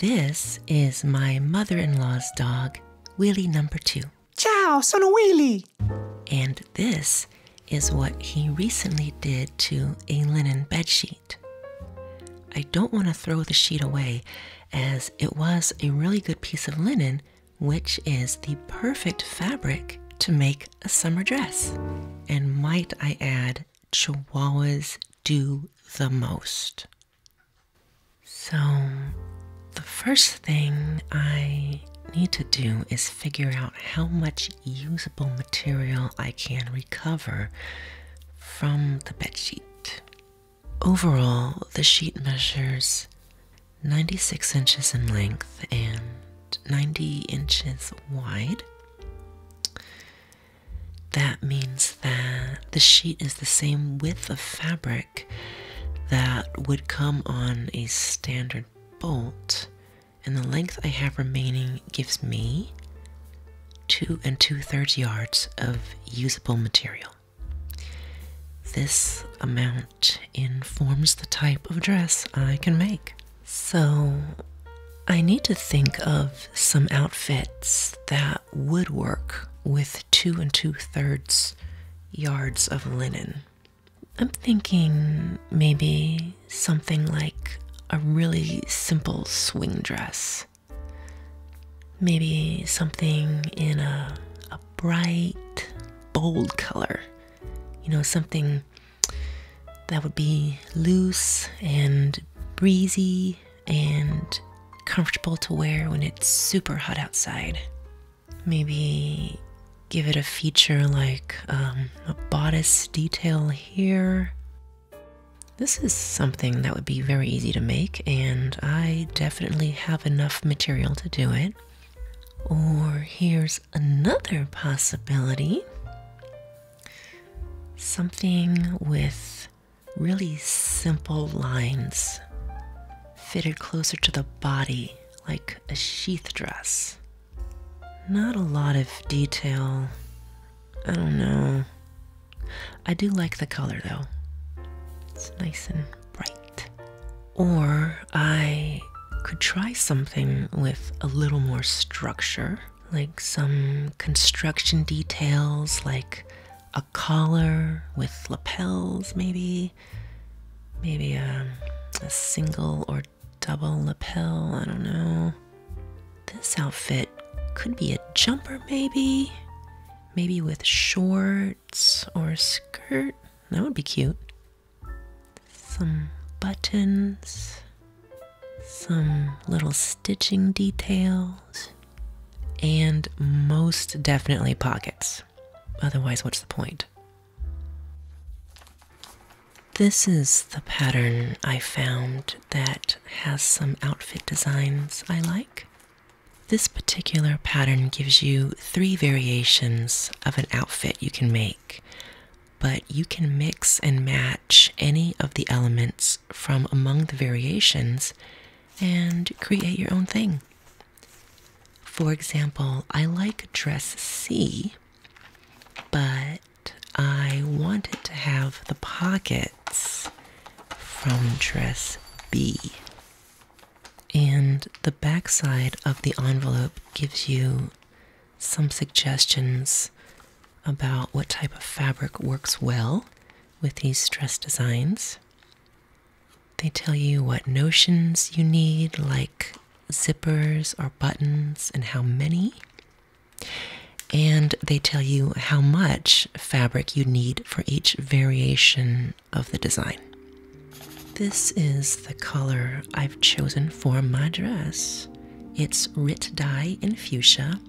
This is my mother in law's dog, Willie number two. Ciao, sono Willie! And this is what he recently did to a linen bedsheet. I don't want to throw the sheet away as it was a really good piece of linen, which is the perfect fabric to make a summer dress. And might I add, Chihuahuas do the most. So, the first thing I need to do is figure out how much usable material I can recover from the bed sheet. Overall, the sheet measures 96 inches in length and 90 inches wide. That means that the sheet is the same width of fabric that would come on a standard bolt, and the length I have remaining gives me two and two thirds yards of usable material. This amount informs the type of dress I can make. So, I need to think of some outfits that would work with two and two thirds yards of linen. I'm thinking maybe something like a really simple swing dress. Maybe something in a, a bright, bold color. You know, something that would be loose and breezy and comfortable to wear when it's super hot outside. Maybe give it a feature like um, a bodice detail here. This is something that would be very easy to make, and I definitely have enough material to do it. Or here's another possibility. Something with really simple lines fitted closer to the body like a sheath dress. Not a lot of detail. I don't know. I do like the color though. It's nice and bright. Or I could try something with a little more structure like some construction details, like a collar with lapels, maybe, maybe um, a, single or double lapel. I don't know. This outfit could be a jumper, maybe, maybe with shorts or a skirt. That would be cute. Some buttons, some little stitching details, and most definitely pockets. Otherwise, what's the point? This is the pattern I found that has some outfit designs I like. This particular pattern gives you three variations of an outfit you can make, but you can mix and match any of the elements from among the variations and create your own thing. For example, I like dress C, but I wanted to have the pockets from dress B. And the backside of the envelope gives you some suggestions about what type of fabric works well with these stress designs. They tell you what notions you need, like zippers or buttons, and how many. And they tell you how much fabric you need for each variation of the design. This is the color I've chosen for my dress. It's Rit Dye in Fuchsia,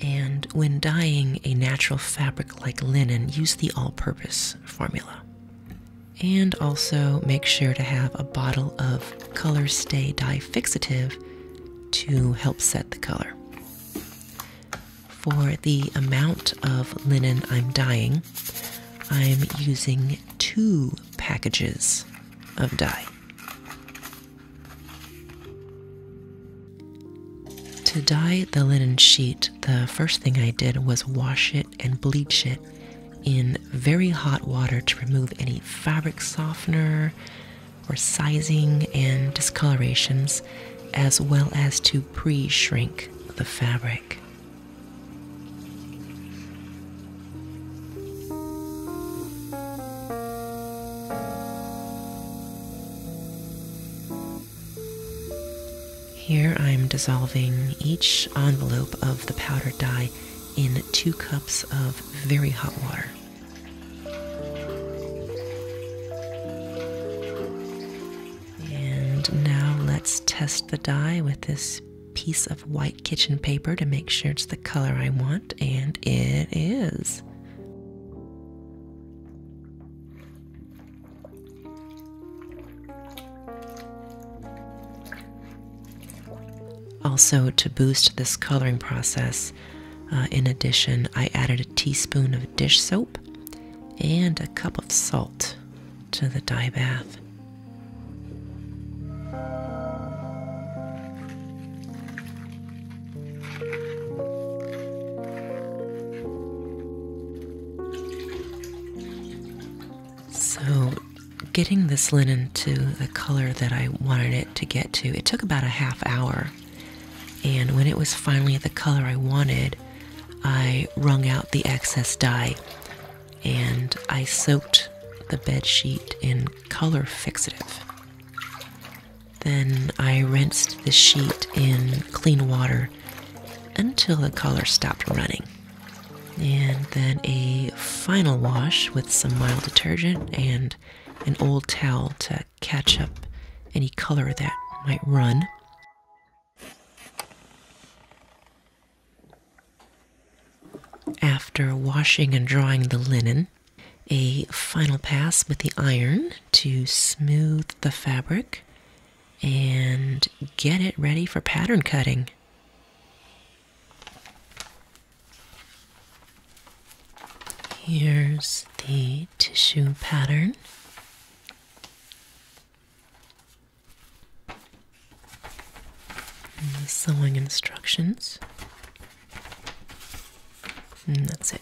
and when dyeing a natural fabric like linen, use the all purpose formula. And also make sure to have a bottle of Color Stay Dye Fixative to help set the color. For the amount of linen I'm dyeing, I'm using two packages of dye. To dye the linen sheet, the first thing I did was wash it and bleach it in very hot water to remove any fabric softener or sizing and discolorations, as well as to pre shrink the fabric. Here I'm dissolving each envelope of the powdered dye in two cups of very hot water. And now let's test the dye with this piece of white kitchen paper to make sure it's the color I want and it is. Also, to boost this coloring process, uh, in addition, I added a teaspoon of dish soap and a cup of salt to the dye bath. So, getting this linen to the color that I wanted it to get to, it took about a half hour. And when it was finally the color I wanted, I wrung out the excess dye and I soaked the bed sheet in color fixative. Then I rinsed the sheet in clean water until the color stopped running. And then a final wash with some mild detergent and an old towel to catch up any color that might run. After washing and drying the linen, a final pass with the iron to smooth the fabric and get it ready for pattern cutting. Here's the tissue pattern. And the sewing instructions. And that's it.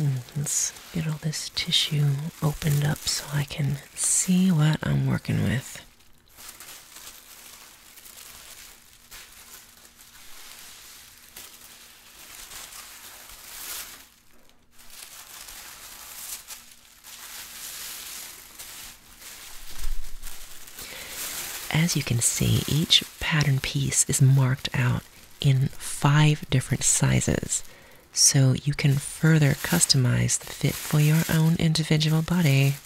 Mm, let's get all this tissue opened up so I can see what I'm working with. As you can see, each pattern piece is marked out in five different sizes, so you can further customize the fit for your own individual body.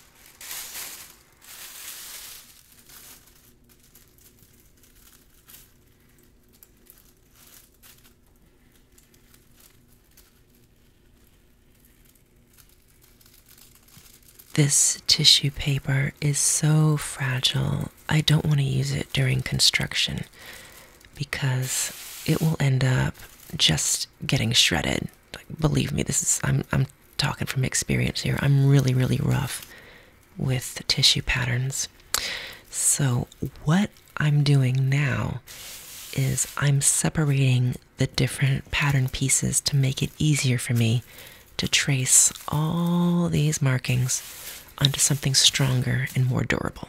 This tissue paper is so fragile, I don't want to use it during construction because it will end up just getting shredded. believe me, this is I'm I'm talking from experience here. I'm really really rough with tissue patterns. So, what I'm doing now is I'm separating the different pattern pieces to make it easier for me to trace all these markings onto something stronger and more durable.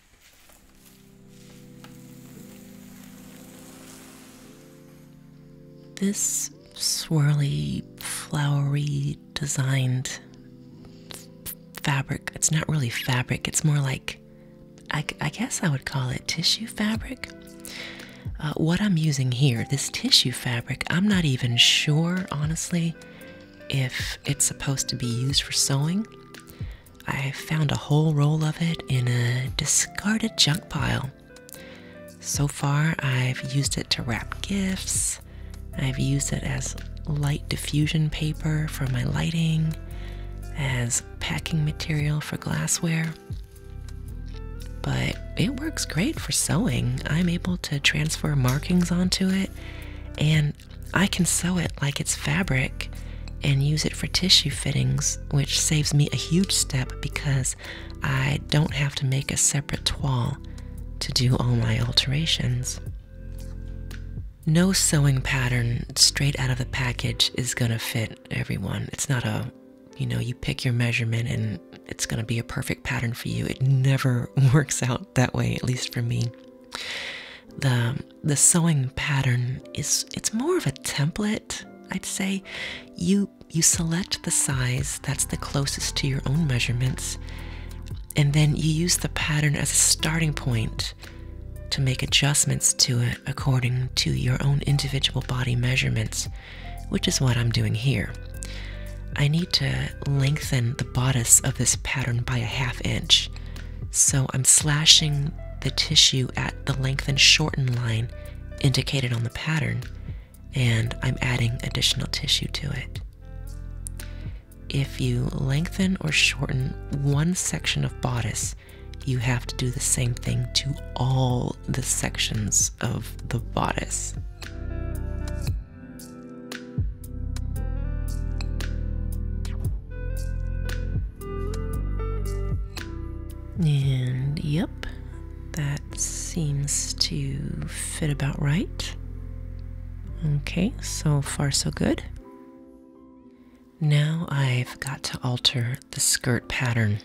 This swirly, flowery, designed fabric, it's not really fabric, it's more like, I, guess I would call it tissue fabric. Uh, what I'm using here, this tissue fabric, I'm not even sure, honestly, if it's supposed to be used for sewing. I found a whole roll of it in a discarded junk pile. So far, I've used it to wrap gifts, I've used it as light diffusion paper for my lighting, as packing material for glassware. But it works great for sewing. I'm able to transfer markings onto it and I can sew it like it's fabric and use it for tissue fittings, which saves me a huge step because I don't have to make a separate toile to do all my alterations. No sewing pattern straight out of the package is going to fit everyone. It's not a, you know, you pick your measurement and it's going to be a perfect pattern for you. It never works out that way, at least for me. The the sewing pattern is it's more of a template i'd say you you select the size that's the closest to your own measurements and then you use the pattern as a starting point to make adjustments to it according to your own individual body measurements which is what i'm doing here i need to lengthen the bodice of this pattern by a half inch so i'm slashing the tissue at the length and shorten line indicated on the pattern, and I'm adding additional tissue to it. If you lengthen or shorten one section of bodice, you have to do the same thing to all the sections of the bodice. And yep, that seems to fit about right. Okay, so far so good. Now I've got to alter the skirt pattern.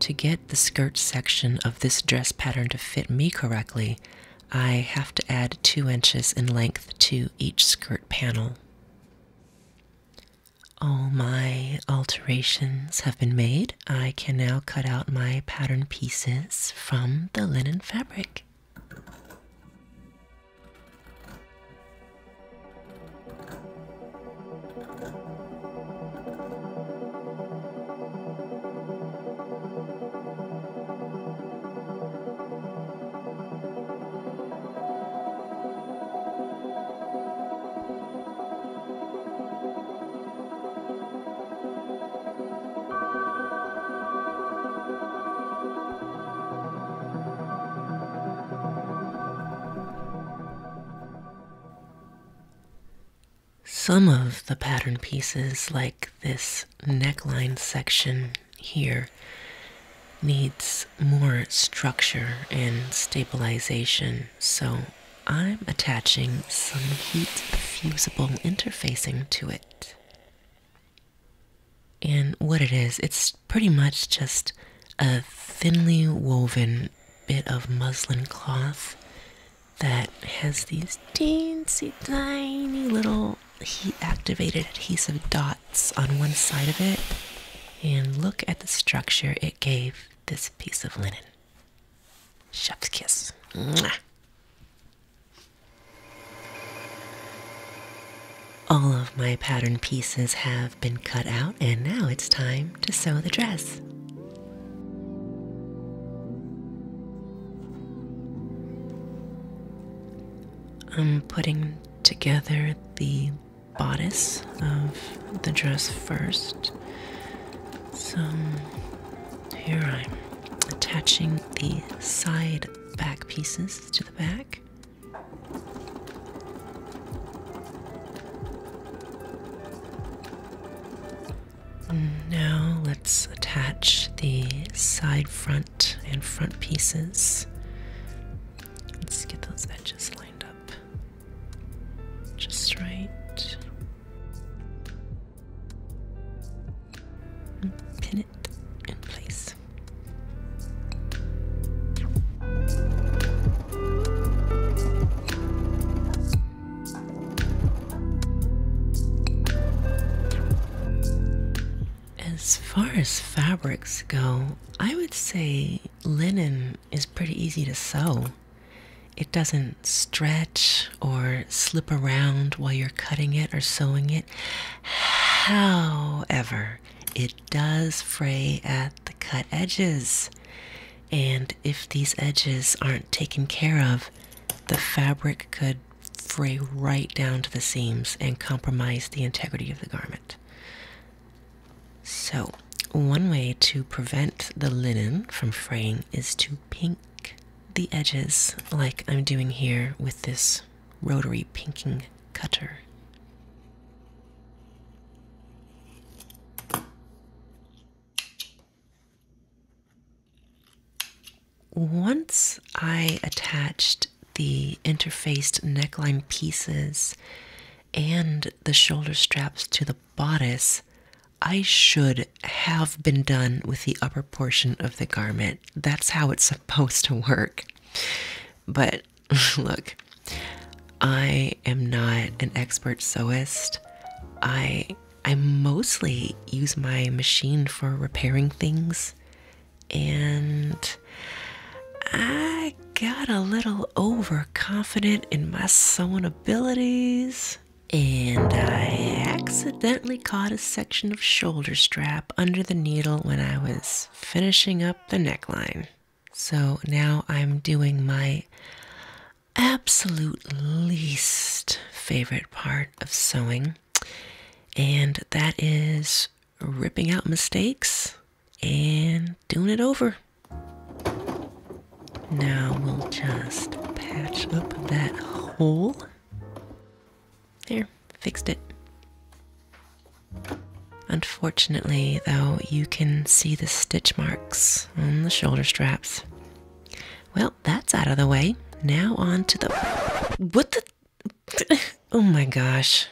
To get the skirt section of this dress pattern to fit me correctly, I have to add two inches in length to each skirt panel. All my alterations have been made. I can now cut out my pattern pieces from the linen fabric. Some of the pattern pieces, like this neckline section here needs more structure and stabilization, so I'm attaching some heat fusible interfacing to it. And what it is, it's pretty much just a thinly woven bit of muslin cloth that has these teensy tiny little now he activated adhesive dots on one side of it, and look at the structure it gave this piece of linen. Chef's kiss. All of my pattern pieces have been cut out, and now it's time to sew the dress. I'm putting together the bodice of the dress first. So here I'm attaching the side back pieces to the back. Now let's attach the side front and front pieces. Let's get those edges lined up just right. pin it in place. As far as fabrics go, I would say linen is pretty easy to sew. It doesn't stretch or slip around while you're cutting it or sewing it. However, it does fray at the cut edges. And if these edges aren't taken care of, the fabric could fray right down to the seams and compromise the integrity of the garment. So, one way to prevent the linen from fraying is to pink the edges, like I'm doing here with this rotary pinking cutter. Once I attached the interfaced neckline pieces and the shoulder straps to the bodice, I should have been done with the upper portion of the garment. That's how it's supposed to work. But look, I am not an expert sewist. I I mostly use my machine for repairing things and I got a little overconfident in my sewing abilities. And I accidentally caught a section of shoulder strap under the needle when I was finishing up the neckline. So now I'm doing my absolute least favorite part of sewing, and that is ripping out mistakes and doing it over. Now we'll just patch up that hole. There, fixed it. Unfortunately, though, you can see the stitch marks on the shoulder straps. Well, that's out of the way. Now on to the... What the oh my gosh.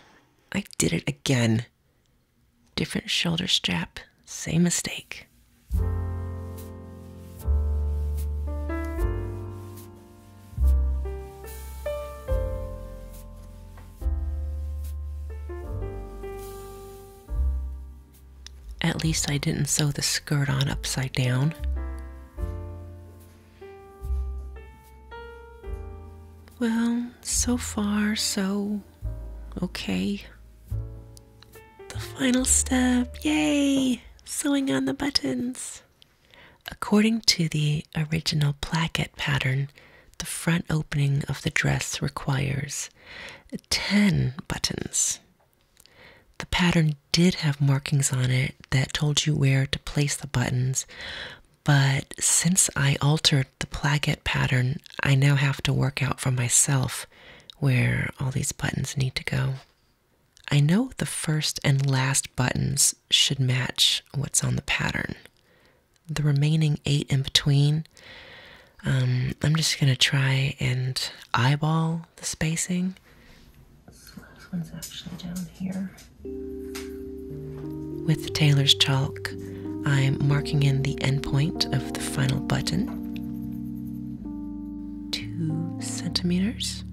I did it again. Different shoulder strap, same mistake. At least I didn't sew the skirt on upside down. Well, so far, so okay. The final step, yay! Sewing on the buttons. According to the original placket pattern, the front opening of the dress requires 10 buttons. The pattern did have markings on it that told you where to place the buttons, but since I altered the placket pattern, I now have to work out for myself where all these buttons need to go. I know the first and last buttons should match what's on the pattern. The remaining eight in between, um, I'm just going to try and eyeball the spacing. This last one's actually down here. With Taylor's chalk, I'm marking in the end point of the final button. Two centimeters.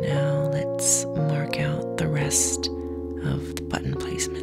Now let's mark out the rest of the button placements.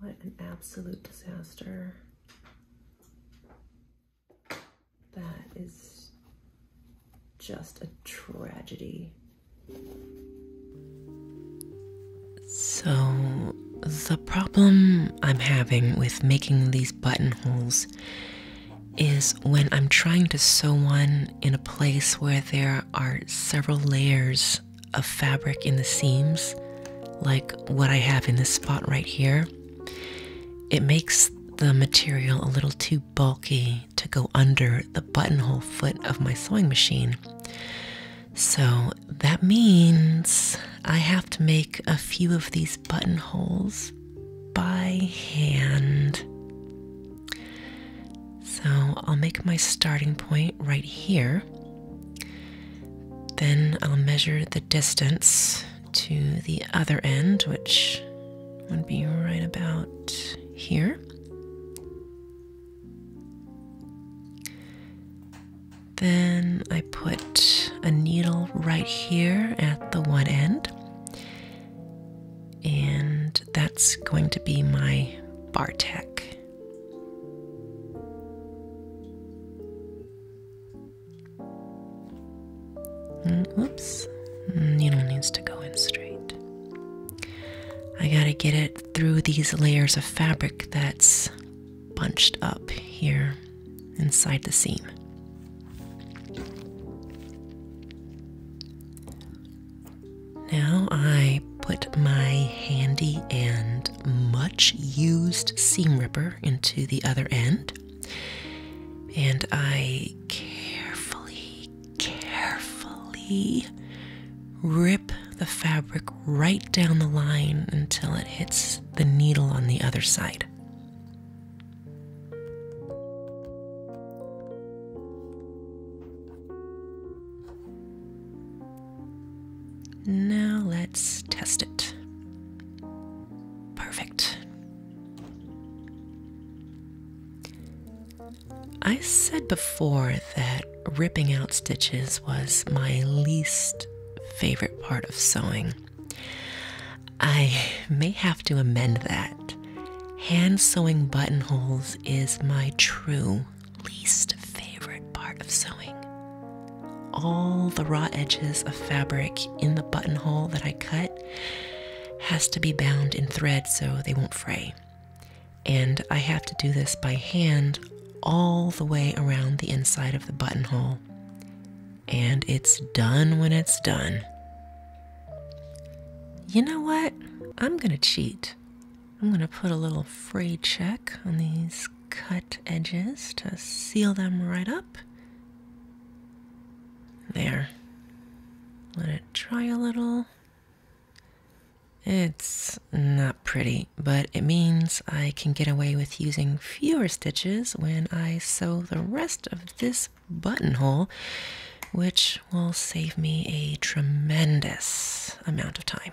What an absolute disaster. That is just a tragedy. So, the problem I'm having with making these buttonholes is when I'm trying to sew one in a place where there are several layers of fabric in the seams, like what I have in this spot right here. It makes the material a little too bulky to go under the buttonhole foot of my sewing machine. So that means I have to make a few of these buttonholes by hand. So I'll make my starting point right here. Then I'll measure the distance to the other end, which would be right about here. Then I put a needle right here at the one end and that's going to be my Bartek. Mm, whoops, needle needs to go in straight. I gotta get it through these layers of fabric that's bunched up here inside the seam. Now I put my handy and much used seam ripper into the other end, and I carefully, carefully rip the fabric right down the line until it hits the needle on the other side. Now let's test it. Perfect. I said before that ripping out stitches was my least favorite part of sewing. I may have to amend that. Hand sewing buttonholes is my true least favorite part of sewing. All the raw edges of fabric in the buttonhole that I cut has to be bound in thread so they won't fray. And I have to do this by hand all the way around the inside of the buttonhole. And it's done when it's done. You know what? I'm gonna cheat. I'm gonna put a little fray check on these cut edges to seal them right up. There. Let it dry a little. It's not pretty, but it means I can get away with using fewer stitches when I sew the rest of this buttonhole, which will save me a tremendous amount of time.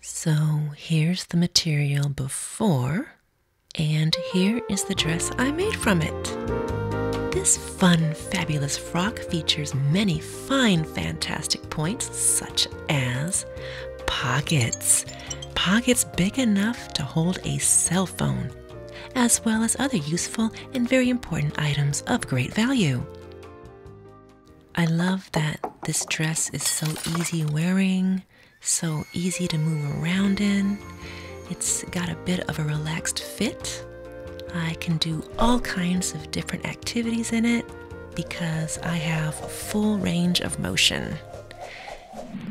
So here's the material before, and here is the dress I made from it. This fun, fabulous frock features many fine, fantastic points, such as pockets. Pockets big enough to hold a cell phone, as well as other useful and very important items of great value. I love that this dress is so easy wearing, so easy to move around in. It's got a bit of a relaxed fit. I can do all kinds of different activities in it because I have full range of motion.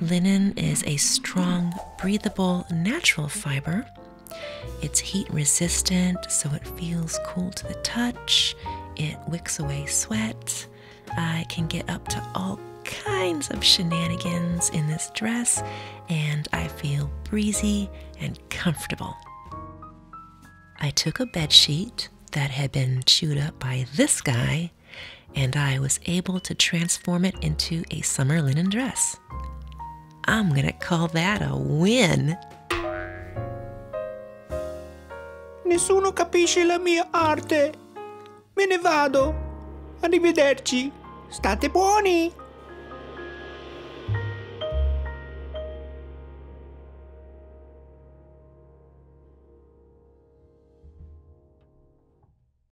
Linen is a strong, breathable, natural fiber. It's heat resistant, so it feels cool to the touch. It wicks away sweat. I can get up to all kinds of shenanigans in this dress, and I feel breezy and comfortable. I took a bed sheet that had been chewed up by this guy and I was able to transform it into a summer linen dress. I'm gonna call that a win. Nessuno capisce la mia arte. Me ne vado. Arrivederci. State buoni.